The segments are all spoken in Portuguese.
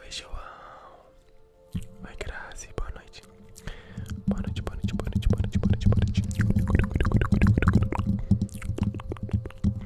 Oi, João. Oi, Grazi. Boa noite. Boa noite, boa noite, boa noite, boa noite, boa noite, boa noite.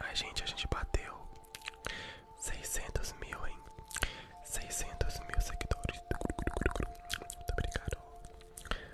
Ai, gente, a gente bateu seiscentos mil, hein? Seiscentos mil seguidores. Muito obrigado.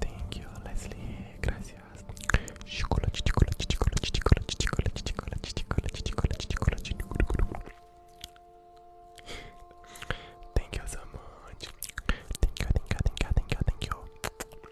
Thank you, Leslie. Gracias. Chocolate, chocolate, chocolate, chocolate, chocolate, chocolate, chocolate, chocolate, chocolate. Thank you so much. Thank you, thank you, thank you, thank you, thank you.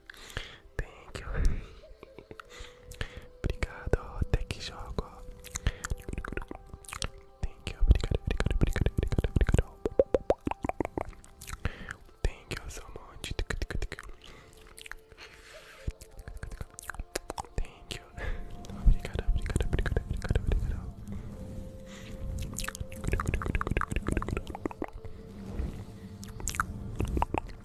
Thank you. obrigado, ó. Até que jogo, Thank you, obrigado, obrigado, obrigado, obrigado, obrigado. Thank you so much. Thank you. Obrigado, obrigado, obrigado, obrigado, obrigado.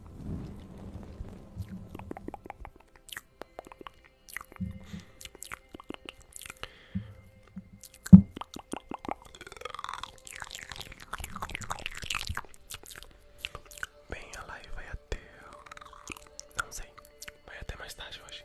Bem, a live vai até. Não sei, vai até mais tarde hoje.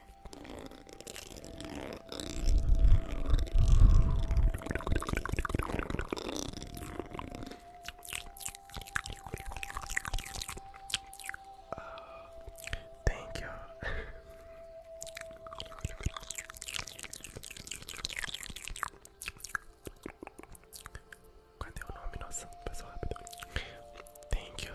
Uh, thank Cadê o nome? nosso passou rápido. Thank you.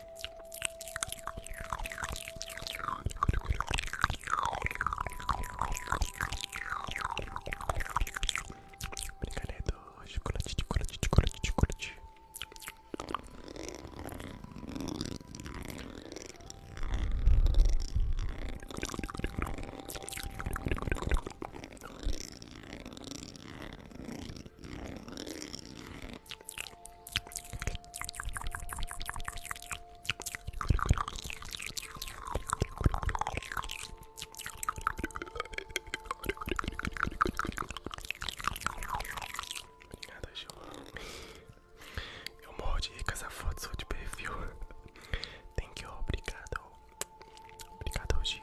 Brincadeira do chocolate, chocolate, chocolate, chocolate. Obrigado, Gil. Eu mordei de rica essa foto de perfil. Thank you, obrigado. Obrigado, Gil.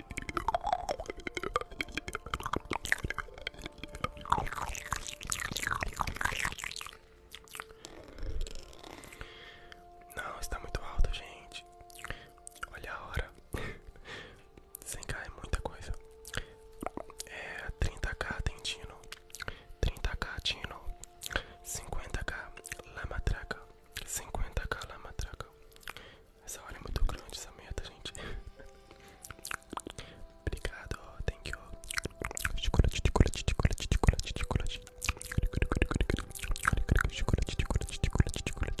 Não, está muito alto, gente. Olha a hora. Sem cair é muita coisa. É 30k Tentino, 30k Tino, 50k Lamatraca, 50k Lamatraca, essa hora é muito grande essa meta, gente. Obrigado, thank you. Chocolate, chocolate, chocolate, chocolate, chocolate. Chocolate, chocolate, chocolate, chocolate, chocolate, chocolate, chocolate.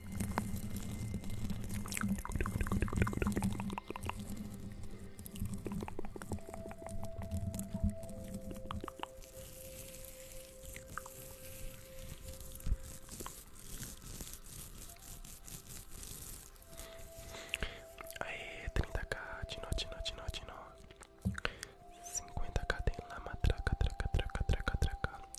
Aê, 30k, tino, tino, tino, tino 50k tem lá, matraca, traca, traca, traca, traca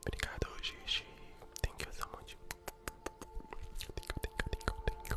Obrigado, Gigi. Thank you so much. Thank you, thank you, thank you, thank you.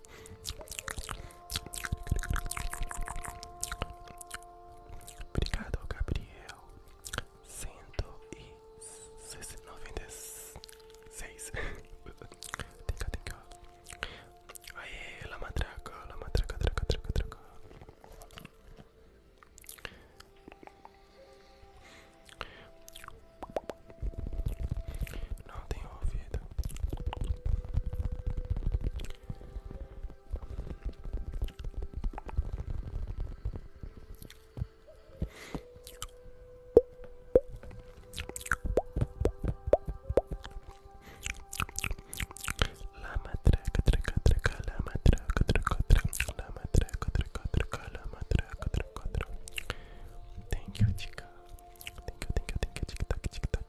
Obrigado, Gabriel. Cento e noventa e seis. Tem cá, tem cá. Aê, lamatraca, lamatraca, traca, traca, traca. Não tenho ouvido. La matraca, traca, traca, la matraca, traca, traca, la matraca, traca, traca, la matraca, Thank you, chica. Thank you, thank you, thank you, chica, chica,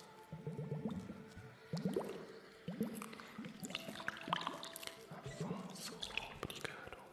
Afonso, obrigado. Afonso,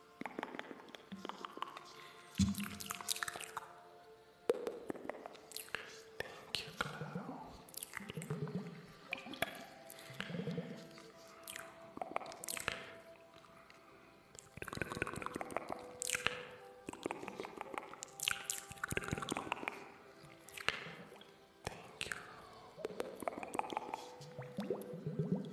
Thank you, Clow. Thank you.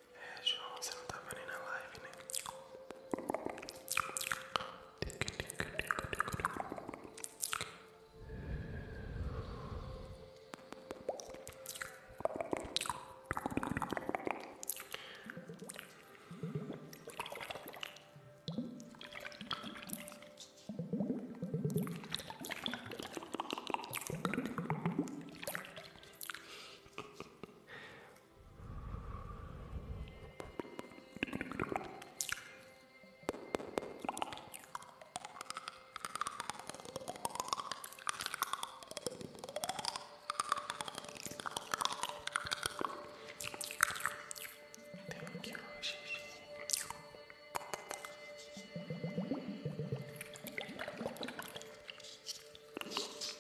É, João, você não tava nem na live, né? Tenho aqui hoje.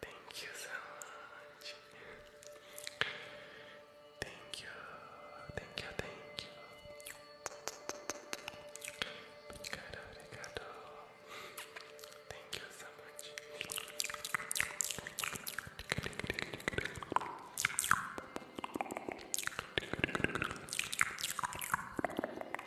Thank you so much. Thank you. Thank you. Thank you. Thank you so much.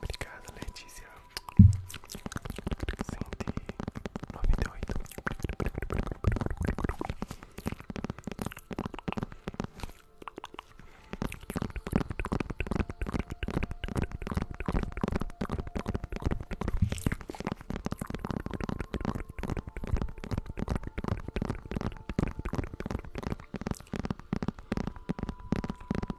Obrigado, Letícia. 198.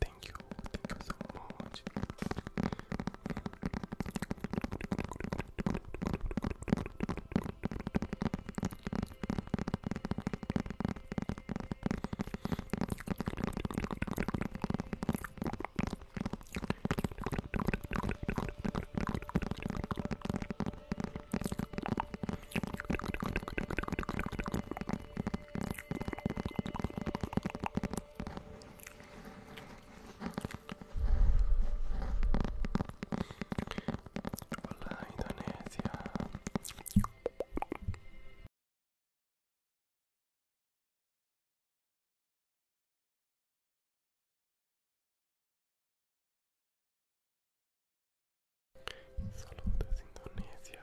Thank you, thank you so much. Olá, Indonésia. Saludos Indonésia.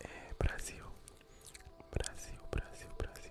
eh, Brasil, Brasil, Brasil, Brasil.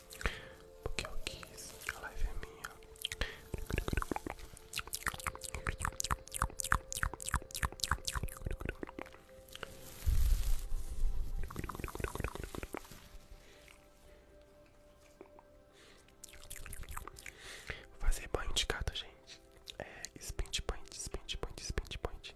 Porque eu quis, a live é minha. Vou fazer banho de gato, gente. É spint point, spint point, spint point.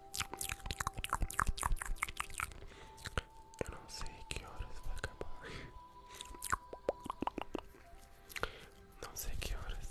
Eu não sei que horas vai acabar. Não sei que horas.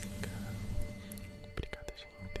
Fica. Obrigada, gente.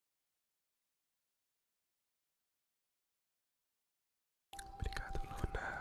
Obrigado, Luna.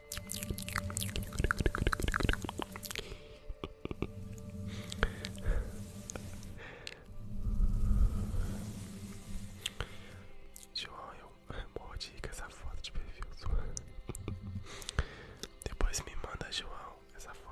João, eu morro com essa foto de perfil Depois me manda, João, essa foto.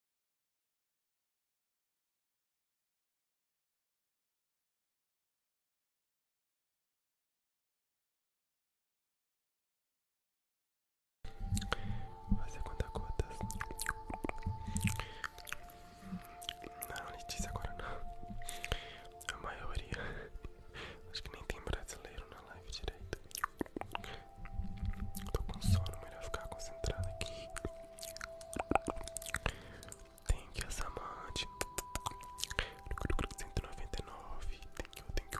Fazer conta-gotas. Não, Letícia, agora não. A maioria. Acho que nem tem brasileiro na live direito. Tô com sono, melhor ficar concentrado aqui. Tem que e you, Asamante. 199. Thank you, thank you.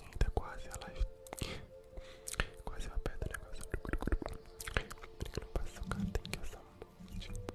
Ainda quase a live. Quase uma pedra do negócio. Porque não passa cara, tem que usar é um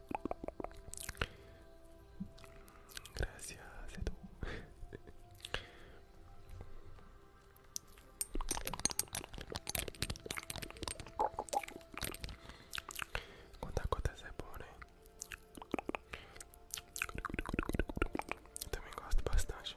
Gracias, Edu. Quanta gota é bom, né? Eu também gosto bastante.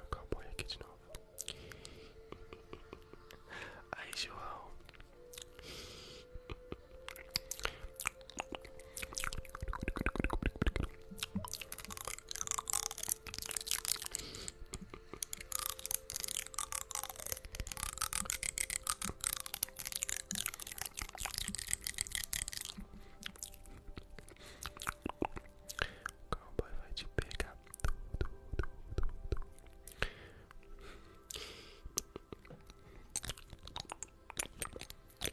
O cowboy aqui de novo. Aí, João. O cowboy vai te pegar. Du, du, du, du, du. Ai,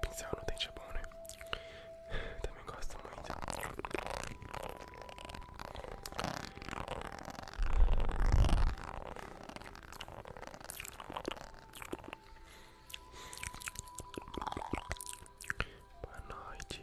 Pincel no dente é bom, né? Também gosto muito. Boa noite,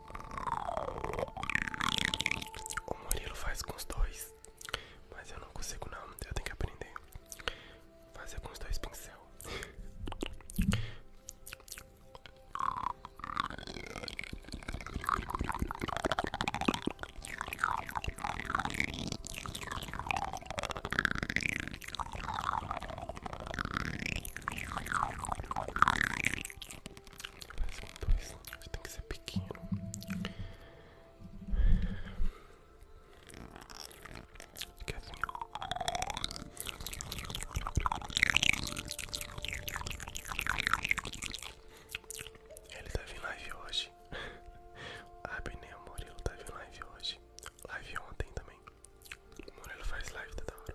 O Murilo faz com os dois, mas eu não consigo não, eu tenho que aprender fazer com os dois pincel. Parece com dois. Tem que ser pequeno. Que assim. Ele tá vindo live hoje. Ah, Benê, o Murilo tá vindo live hoje. Live ontem também. O Murilo faz live toda hora.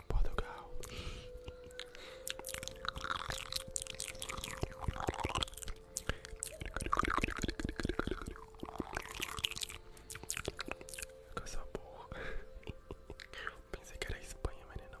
em Portugal. Coisa sabor Pensei que era Espanha, mas não.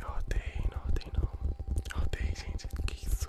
Eu odeio, não odeio não. Eu odeio, gente. Que isso?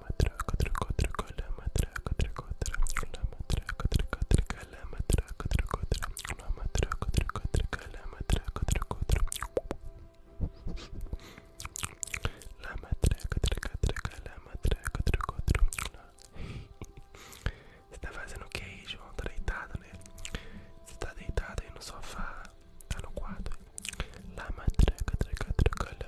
lama Você tá fazendo o que aí, João? Tá deitado, né? Você tá deitado aí no sofá, tá no quarto. Lama, traca, traca, traca,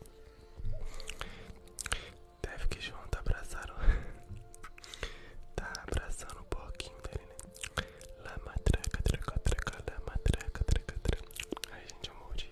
Deve que João tá abraçando. tá abraçando o porquinho dele, né? Lá matraca, traca, traca, lá matraca, traca, traca. Ai, gente, eu mordi.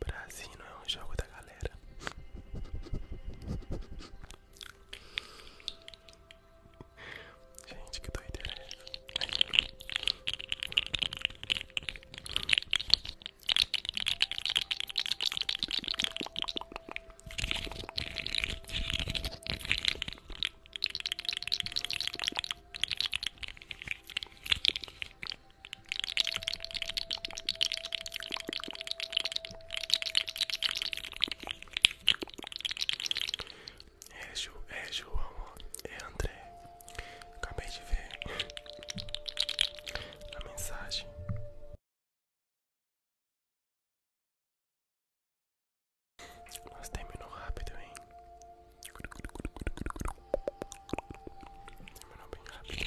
Brasil não é um jogo da galera. Gente, que doideira é é, Ju, é João, é André. Acabei de ver a mensagem. Mas terminou rápido, hein? Terminou bem rápido.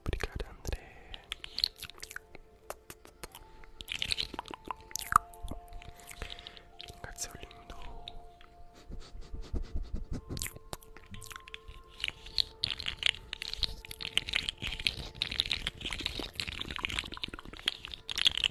Obrigado, André. Obrigado, seu lindo.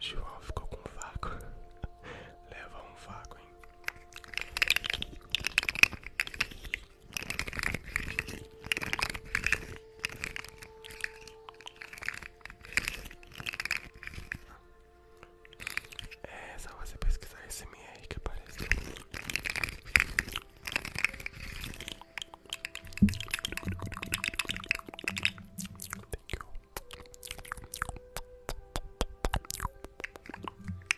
João ficou com um vácuo. Leva um vácuo é só você pesquisar esse MR que aparece.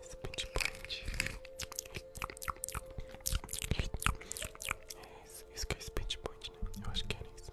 Esse pinpoint isso, isso que é esse pinpoint, né? Eu acho que é isso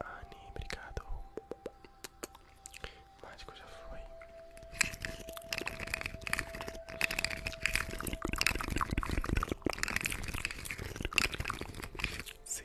Ani, obrigado. Mágico já foi. Sim,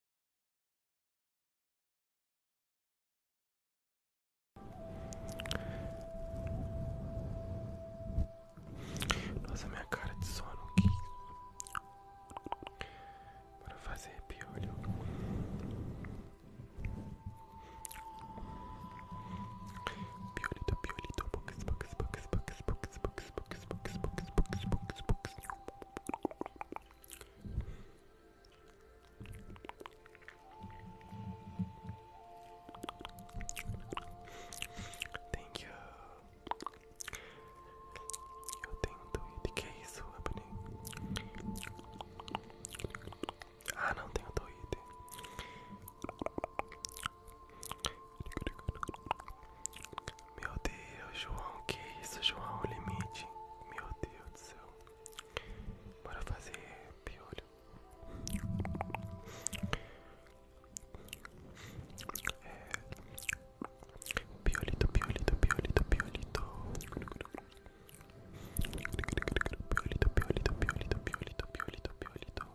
Nossa, minha cara de sono aqui. para fazer piolho. Piolito, piolito, box, box, box, box, box, box, box, box, box, box, box, box. Thank you. Eu tenho tweet, que é isso, Ebony? Ah, não tenho tweet. Meu Deus, João, que isso, João? O limite. Meu Deus do céu. Bora fazer piolho. É... Piolito, piolito, piolito, piolito. Piolito, piolito, piolito, piolito, piolito, piolito.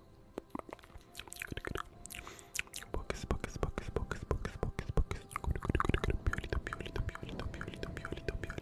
Box, box, box, box, box, box, box. Piolito, piolito, piolito, piolito, piolito, piolito.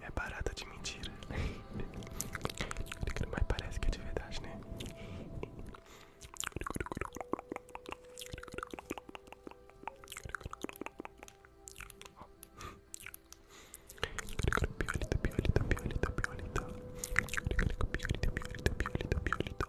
É barata de mentira. Mas parece que é de verdade, né? Piolita, piolita, piolita, piolita. Piolita, piolita, piolita, piolita.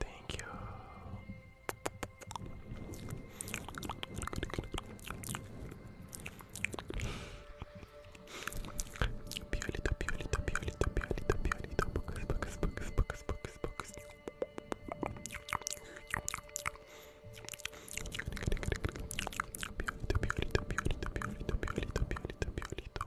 Thank you. Piolito, piolito, piolito, piolito, piolito, bookus, bookus, bookus, bookus, bookus, bookus. Piolito, piolito, piolito, piolito, piolito, piolito, piolito.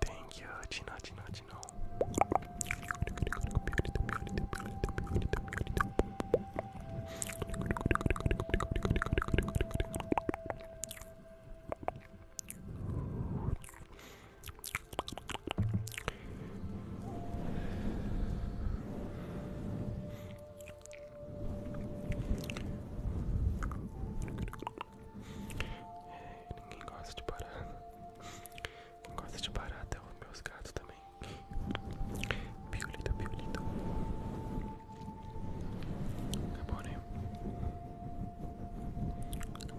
Thank you, Tina, Tina, Tina. Ninguém gosta de parada gosta de barata é os meus gatos também. Piolito, piolito. bom né? Acabou, acabou.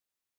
Obrigado.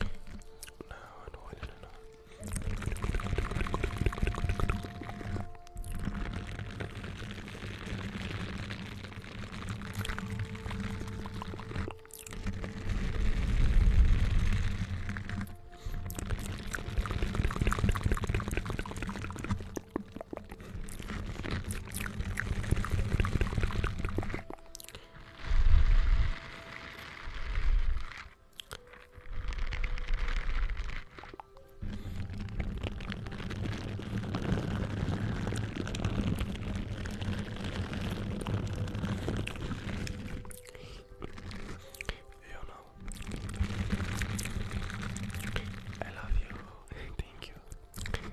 No, no, no, no, no. You know, I love you. Thank you.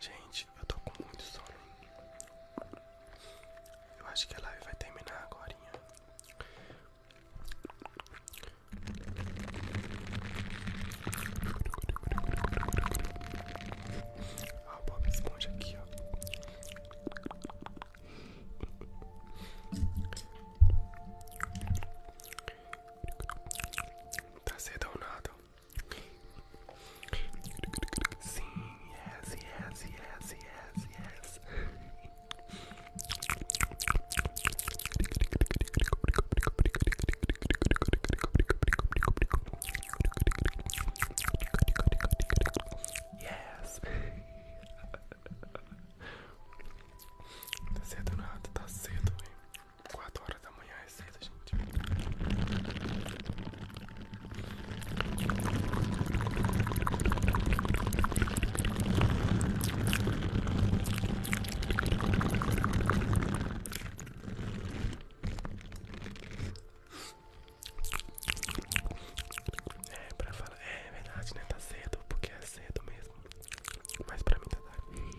Gente, eu tô com muito sono. Eu acho que a live vai terminar agora. Ah, Bob Esponja aqui, ó. Tá cedo ou Sim, yes, yes, yes, yes, yes. Yes! Tá cedo nada, tá cedo, hein? 4 horas da manhã é cedo, gente. É, pra falar, é verdade, né? Tá cedo, porque é cedo mesmo. Mas pra mim tá tarde.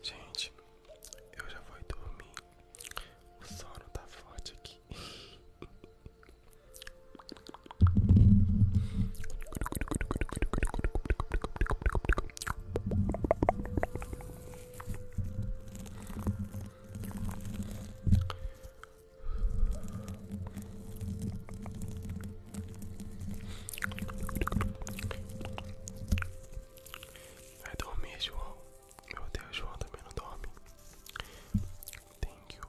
Gente, eu já vou dormir. O sono tá forte aqui. Vai dormir, João. Meu Deus, João também não dorme. Thank you.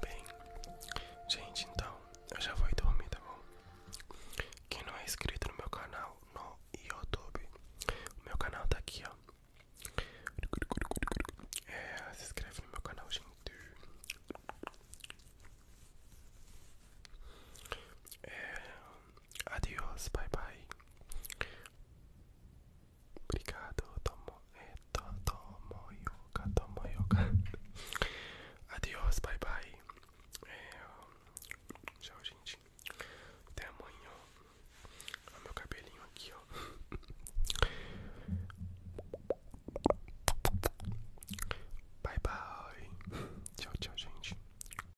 Bem, gente, então eu já vou dormir, tá bom? Quem não é inscrito no meu canal no YouTube, meu canal tá aqui, ó. É, se inscreve no meu canal, gente. É, Adiós, bye bye. Obrigado, tomo, eh, to, tomo yoga, tomo yoga. Adiós, bye bye. É, tchau, gente. Até amanhã. Olha meu cabelinho aqui, ó. Bye bye. Tchau, tchau, gente.